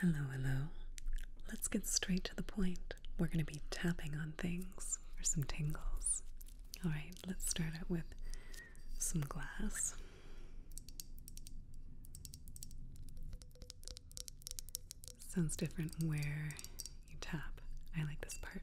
Hello, hello. Let's get straight to the point. We're going to be tapping on things for some tingles. All right, let's start out with some glass. Sounds different where you tap. I like this part.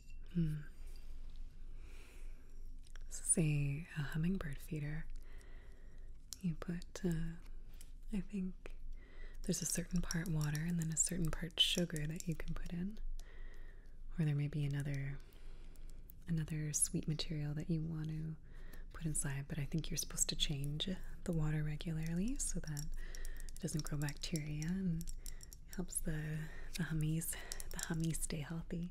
Hmm. This is a, hummingbird feeder. You put, uh, I think there's a certain part water and then a certain part sugar that you can put in. Or there may be another another sweet material that you want to put inside, but I think you're supposed to change the water regularly so that it doesn't grow bacteria and helps the the hummies the hummies stay healthy.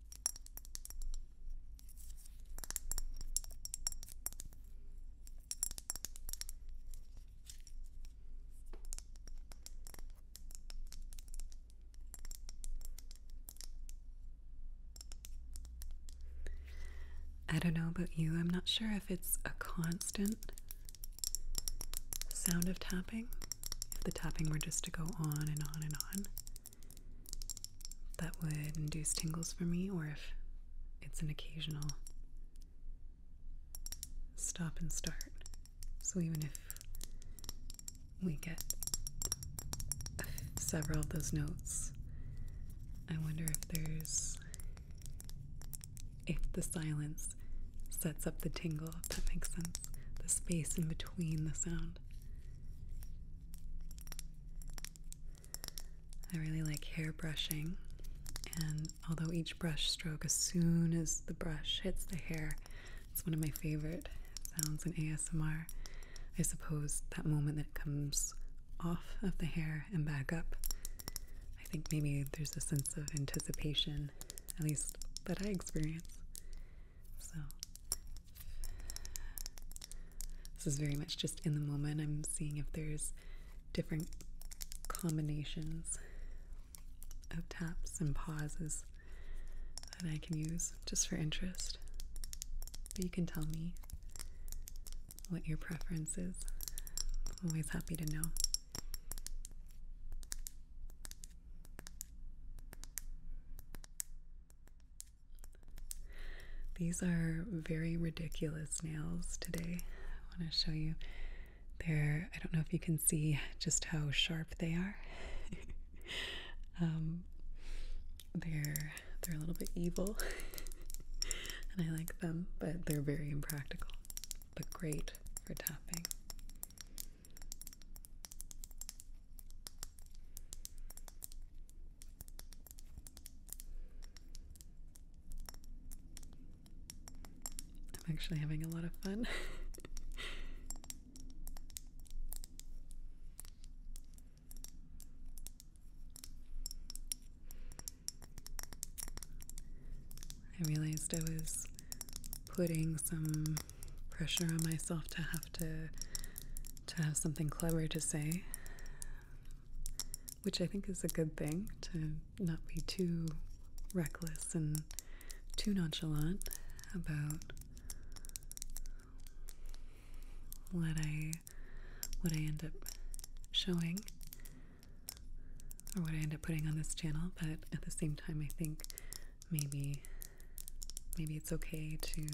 I don't know about you, I'm not sure if it's a constant sound of tapping, if the tapping were just to go on and on and on that would induce tingles for me, or if it's an occasional stop and start. So even if we get several of those notes, I wonder if there's. if the silence sets up the tingle, if that makes sense. The space in between the sound. I really like hair brushing, and although each brush stroke, as soon as the brush hits the hair, it's one of my favorite sounds in ASMR. I suppose that moment that comes off of the hair and back up. I think maybe there's a sense of anticipation, at least that I experience. So this is very much just in the moment. I'm seeing if there's different combinations of taps and pauses that I can use just for interest. But you can tell me what your preference is. I'm always happy to know. These are very ridiculous nails today. I want to show you. They're, I don't know if you can see just how sharp they are. um, they're they're a little bit evil and I like them, but they're very impractical, but great for tapping. I'm actually having a lot of fun. I realized I was putting some pressure on myself to have to to have something clever to say which I think is a good thing to not be too reckless and too nonchalant about what I what I end up showing or what I end up putting on this channel, but at the same time I think maybe maybe it's okay to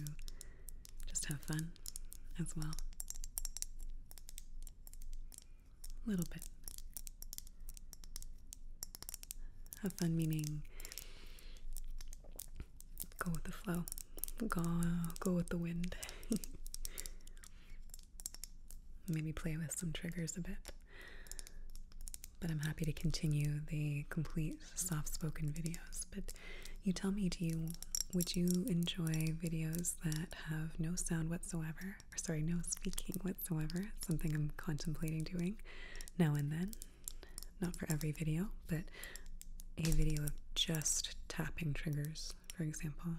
just have fun as well. A little bit. Have fun, meaning go with the flow, go, go with the wind. Maybe play with some triggers a bit. But I'm happy to continue the complete soft spoken videos. But you tell me, do you would you enjoy videos that have no sound whatsoever? Or sorry, no speaking whatsoever. something I'm contemplating doing now and then. Not for every video, but a video of just tapping triggers, for example.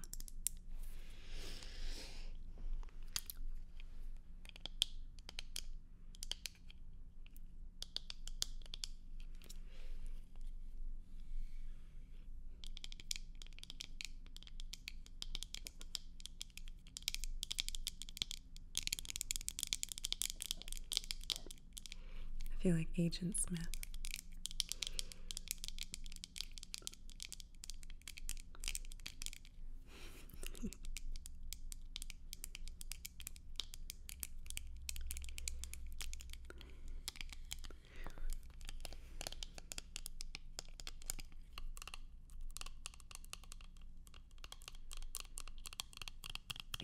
I feel like Agent Smith.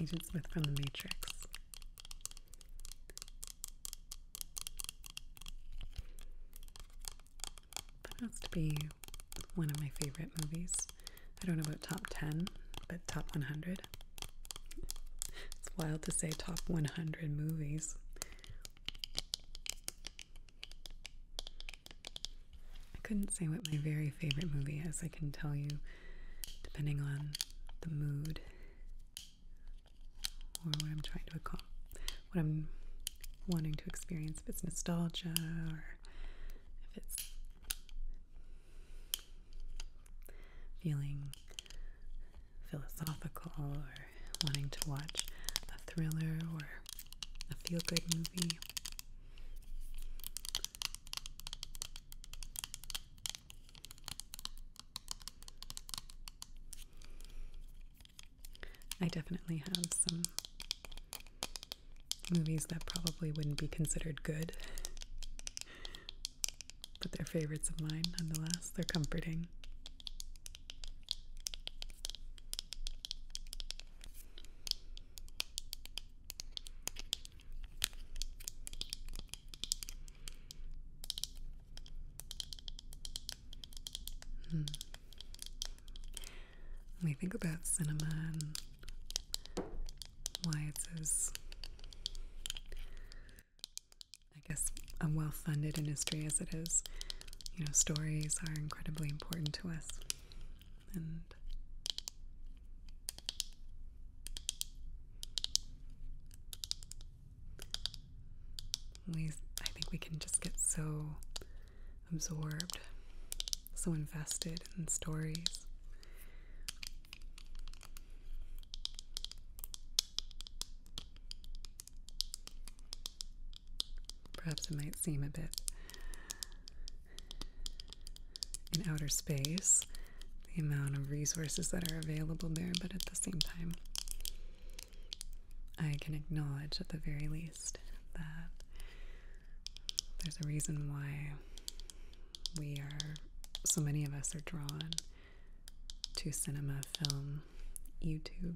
Agent Smith from The Matrix. That has to be one of my favorite movies. I don't know about top 10, but top 100. It's wild to say top 100 movies. I couldn't say what my very favorite movie is, I can tell you, depending on the mood or what I'm trying to accomplish, what I'm wanting to experience, if it's nostalgia or if it's feeling philosophical or wanting to watch a thriller or a feel good movie. I definitely have some movies that probably wouldn't be considered good but they're favorites of mine nonetheless. They're comforting. Hmm. When we think about cinema why it's as I guess, a well funded industry as it is, you know, stories are incredibly important to us. And we, I think we can just get so absorbed, so invested in stories. Perhaps it might seem a bit in outer space, the amount of resources that are available there, but at the same time, I can acknowledge at the very least that there's a reason why we are, so many of us are drawn to cinema, film, YouTube.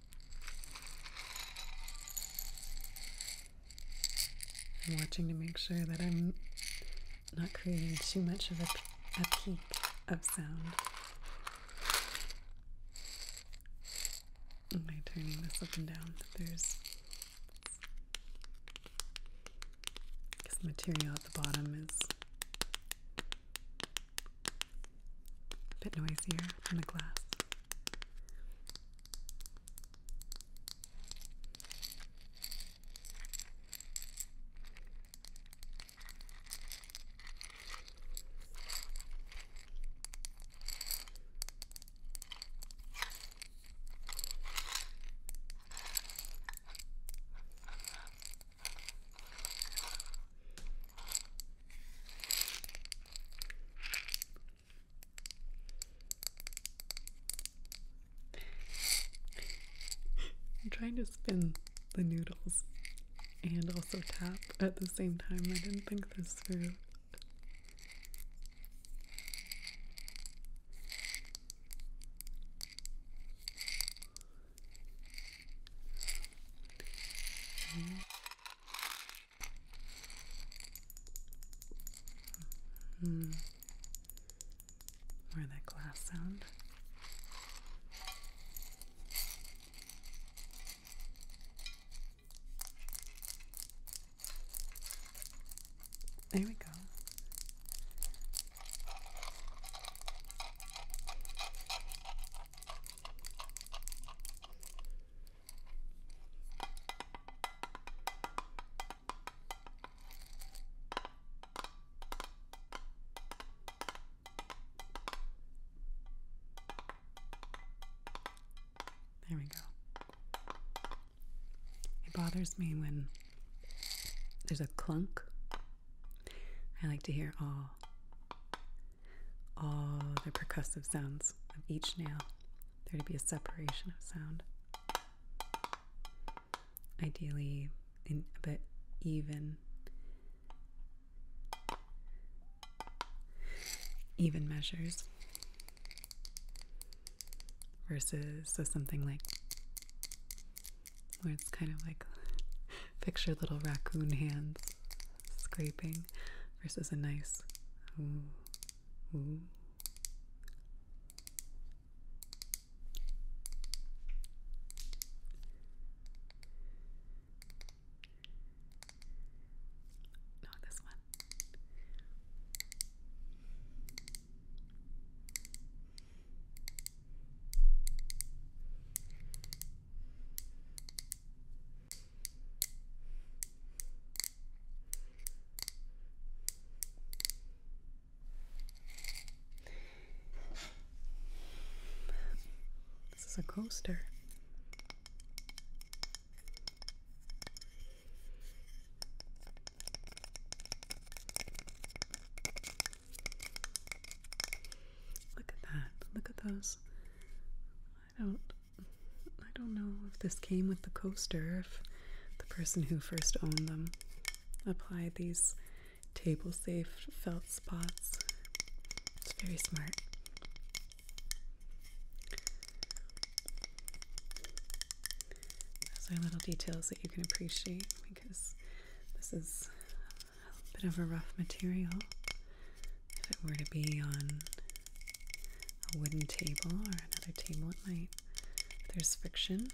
I'm watching to make sure that I'm not creating too much of a, peak of sound. Am I turning this up and down? There's because the material at the bottom is a bit noisier from the glass. I'm trying to spin the noodles and also tap at the same time. I didn't think this through. Mm -hmm. More of that glass sound. There we go. There we go. It bothers me when there's a clunk. I like to hear all all the percussive sounds of each nail. There to be a separation of sound. Ideally, in a bit even, even measures. Versus so something like where it's kind of like fix your little raccoon hands scraping versus a nice ooh, ooh. Not this one. This is a coaster. Look at that. Look at those I don't I don't know if this came with the coaster if the person who first owned them applied these table safe felt spots. It's very smart. Those are little details that you can appreciate because this is a bit of a rough material. If it were to be on a wooden table or another table, it might, if there's friction,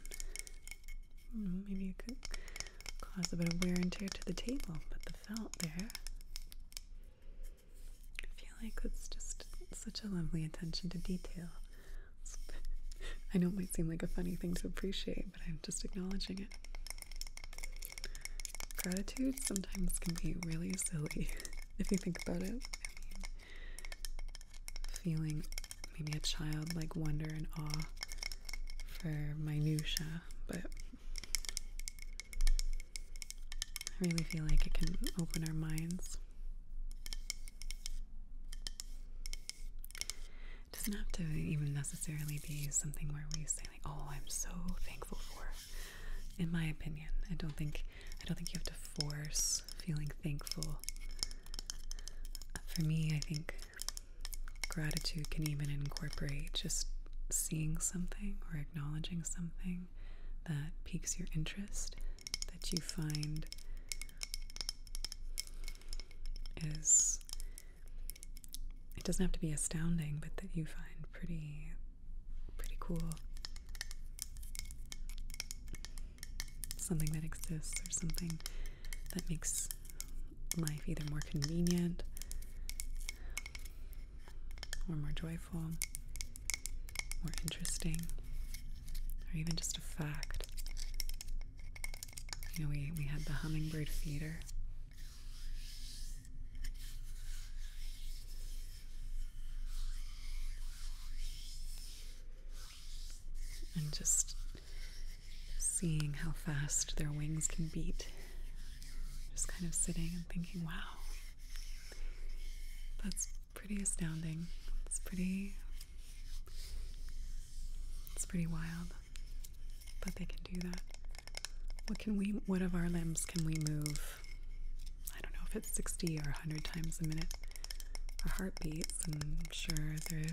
mm, maybe it could cause a bit of wear and tear to the table, but the felt there. I feel like it's just such a lovely attention to detail. I know it might seem like a funny thing to appreciate, but I'm just acknowledging it. Gratitude sometimes can be really silly if you think about it. I mean, feeling maybe a childlike wonder and awe for minutia, but I really feel like it can open our minds. It doesn't have to even necessarily be something where we say like, "Oh, I'm so thankful for." in my opinion. I don't think I don't think you have to force feeling thankful. For me, I think gratitude can even incorporate just seeing something or acknowledging something that piques your interest that you find is it doesn't have to be astounding, but that you find pretty Pretty cool. Something that exists or something that makes life either more convenient or more joyful, more interesting, or even just a fact. You know, we, we had the hummingbird feeder. And just seeing how fast their wings can beat. Just kind of sitting and thinking, wow, that's pretty astounding. It's pretty, it's pretty wild, but they can do that. What can we, what of our limbs can we move I don't know if it's 60 or 100 times a minute, our heart beats. I'm sure there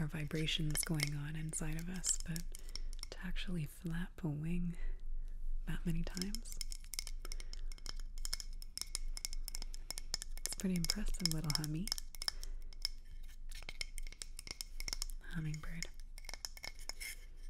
are vibrations going on inside of us, but to actually flap a wing that many times, it's pretty impressive, little hummy. Hummingbird.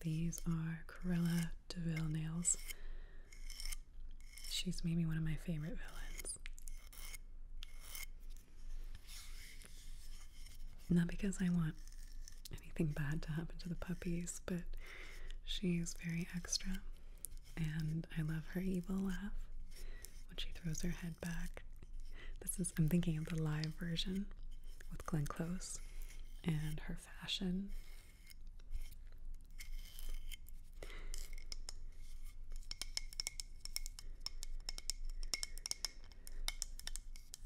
These are Corella DeVille nails. She's maybe one of my favorite villains. Not because I want anything bad to happen to the puppies, but she's very extra. And I love her evil laugh when she throws her head back. This is, I'm thinking of the live version with Glenn Close and her fashion.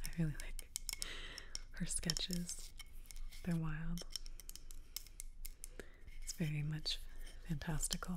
I really like her sketches. They're wild. It's very much fantastical.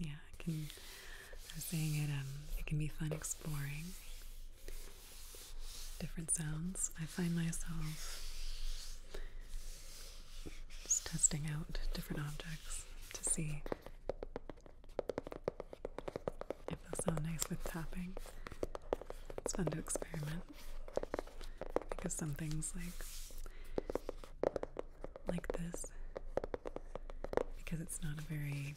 Yeah, I can I was saying it um it can be fun exploring different sounds. I find myself just testing out different objects to see if they sound nice with tapping. It's fun to experiment because some things like like this because it's not a very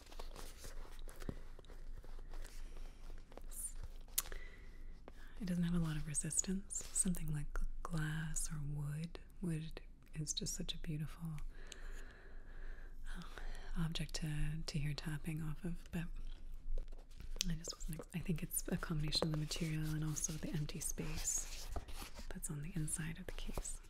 it doesn't have a lot of resistance. Something like glass or wood. Wood is just such a beautiful um, object to to hear tapping off of, but I just wasn't. I think it's a combination of the material and also the empty space that's on the inside of the case.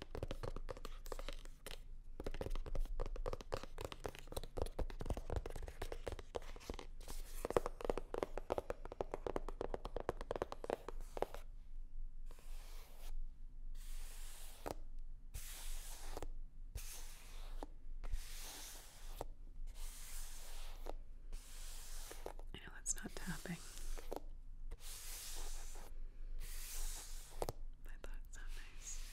I know that's not tapping. I thought it sounded nice. Okay.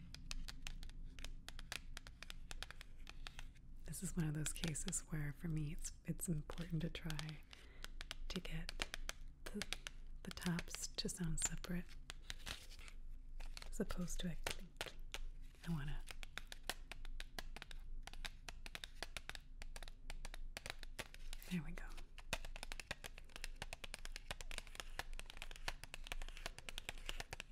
This is one of those cases where for me it's it's important to try to get the, the tops to sound separate as opposed to a click. clink. I want to There we go.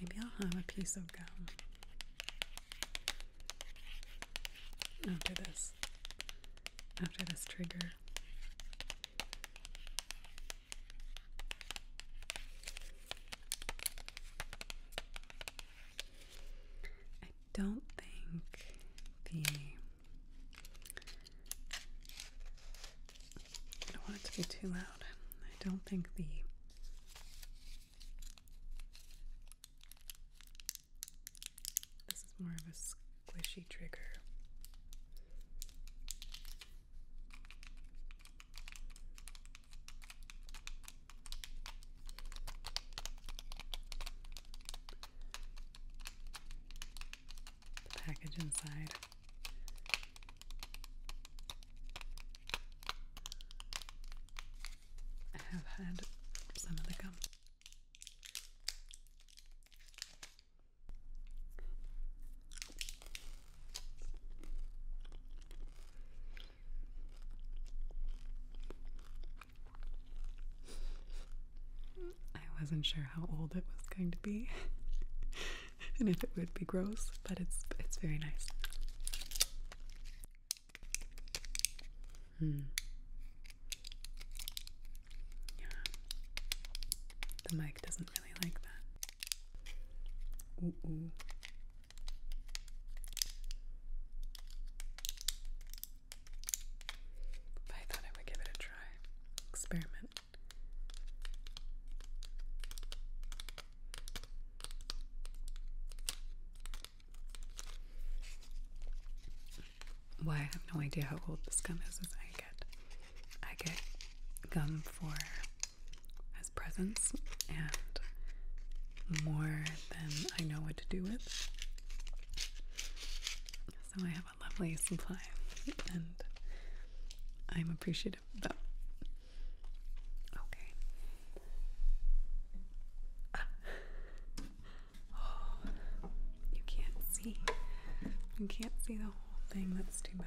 Maybe I'll have a piece of gum after this, after this trigger. I don't think the I don't want it to be too loud. I don't think the this is more of a squishy trigger the package inside. I have had some of the gum. I wasn't sure how old it was going to be and if it would be gross, but it's it's very nice. Hmm. Yeah. The mic doesn't really like that. Ooh I thought I would give it a try. Experiment. Why I have no idea how old this gum is. I get, I get gum for as presents, and more than I know what to do with. So I have have a lovely supply, and I'm appreciative of that. Okay. you can't see. You can't see the whole thing. That's too bad.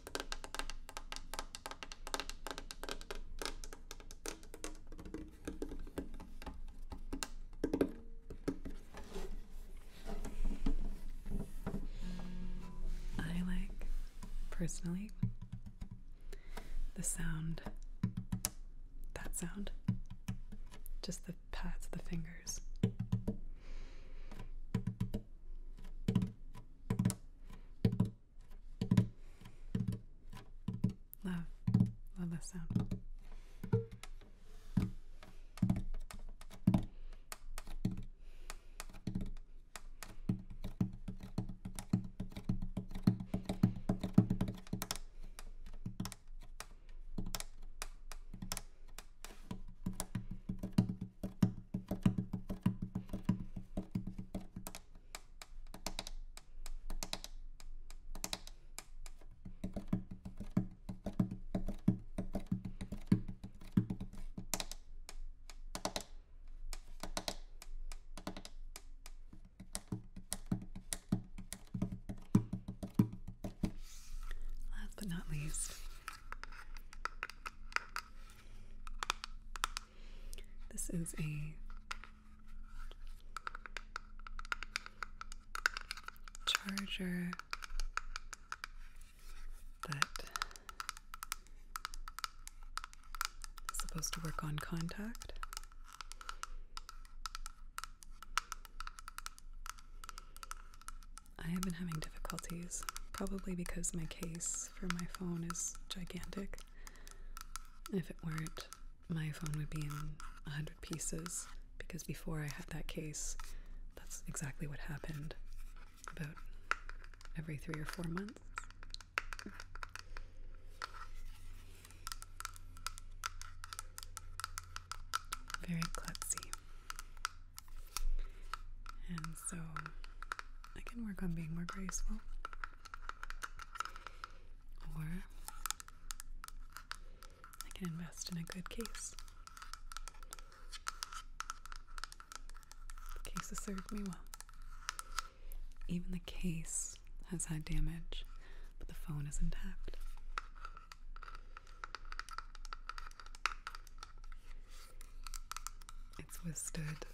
I like personally the sound that sound just the pads of the fingers. Love, love that sound. Last but not least, this is a charger that is supposed to work on contact. I have been having difficulties, probably because my case for my phone is gigantic. If it weren't, my phone would be in 100 pieces because before I had that case, that's exactly what happened about every three or four months. Very klutzy. And so I can work on being more graceful. Or I can invest in a good case. The case has served me well. Even the case has had damage, but the phone is intact. It's twisted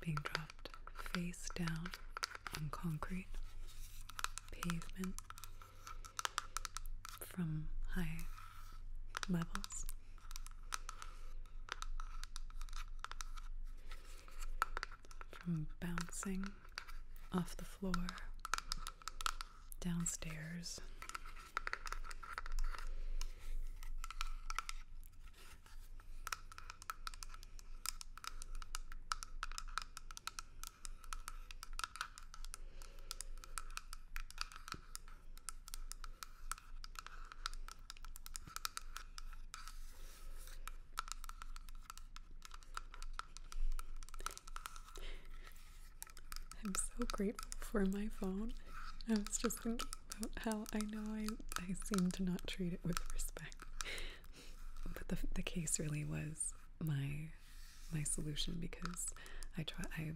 being dropped face down on concrete pavement from high levels. From bouncing off the floor, downstairs, I'm so grateful for my phone. I was just thinking how I know I, I seem to not treat it with respect. But the, the case really was my my solution because I try I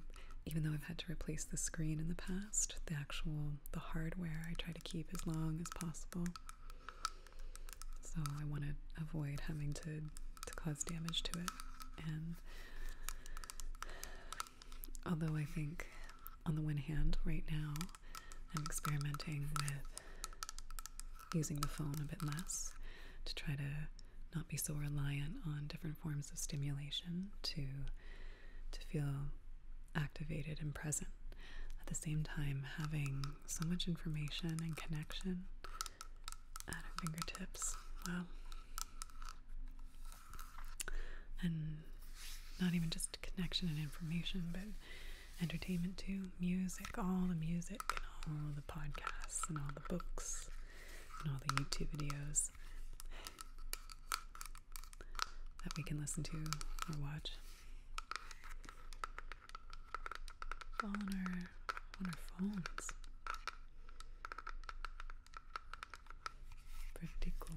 even though I've had to replace the screen in the past, the actual the hardware I try to keep as long as possible. So I want to avoid having to to cause damage to it and Although I think, on the one hand, right now, I'm experimenting with using the phone a bit less to try to not be so reliant on different forms of stimulation to to feel activated and present. At the same time, having so much information and connection at our fingertips. Wow and not even just connection and information, but entertainment too, music, all the music, and all the podcasts, and all the books, and all the YouTube videos that we can listen to or watch. all on our on our phones. Pretty cool.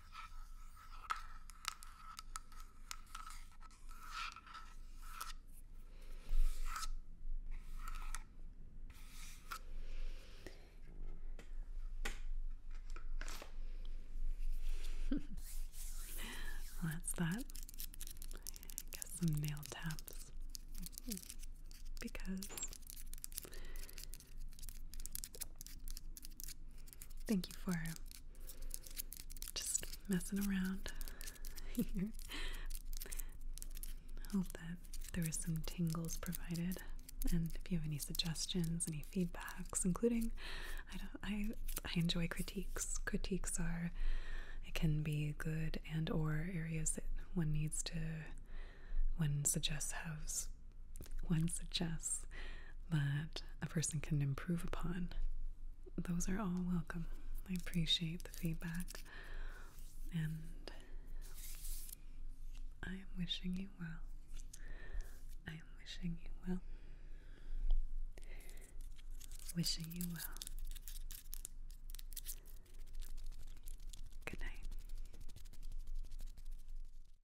well, that's that. Got some nail taps because Thank you for just messing around here. Hope that there was some tingles provided. And if you have any suggestions, any feedbacks, including, I don't, I, I enjoy critiques. Critiques are, it can be good and or areas that one needs to, one suggests has one suggests that a person can improve upon, those are all welcome. I appreciate the feedback and I am wishing you well. I am wishing you well. Wishing you well. Good night.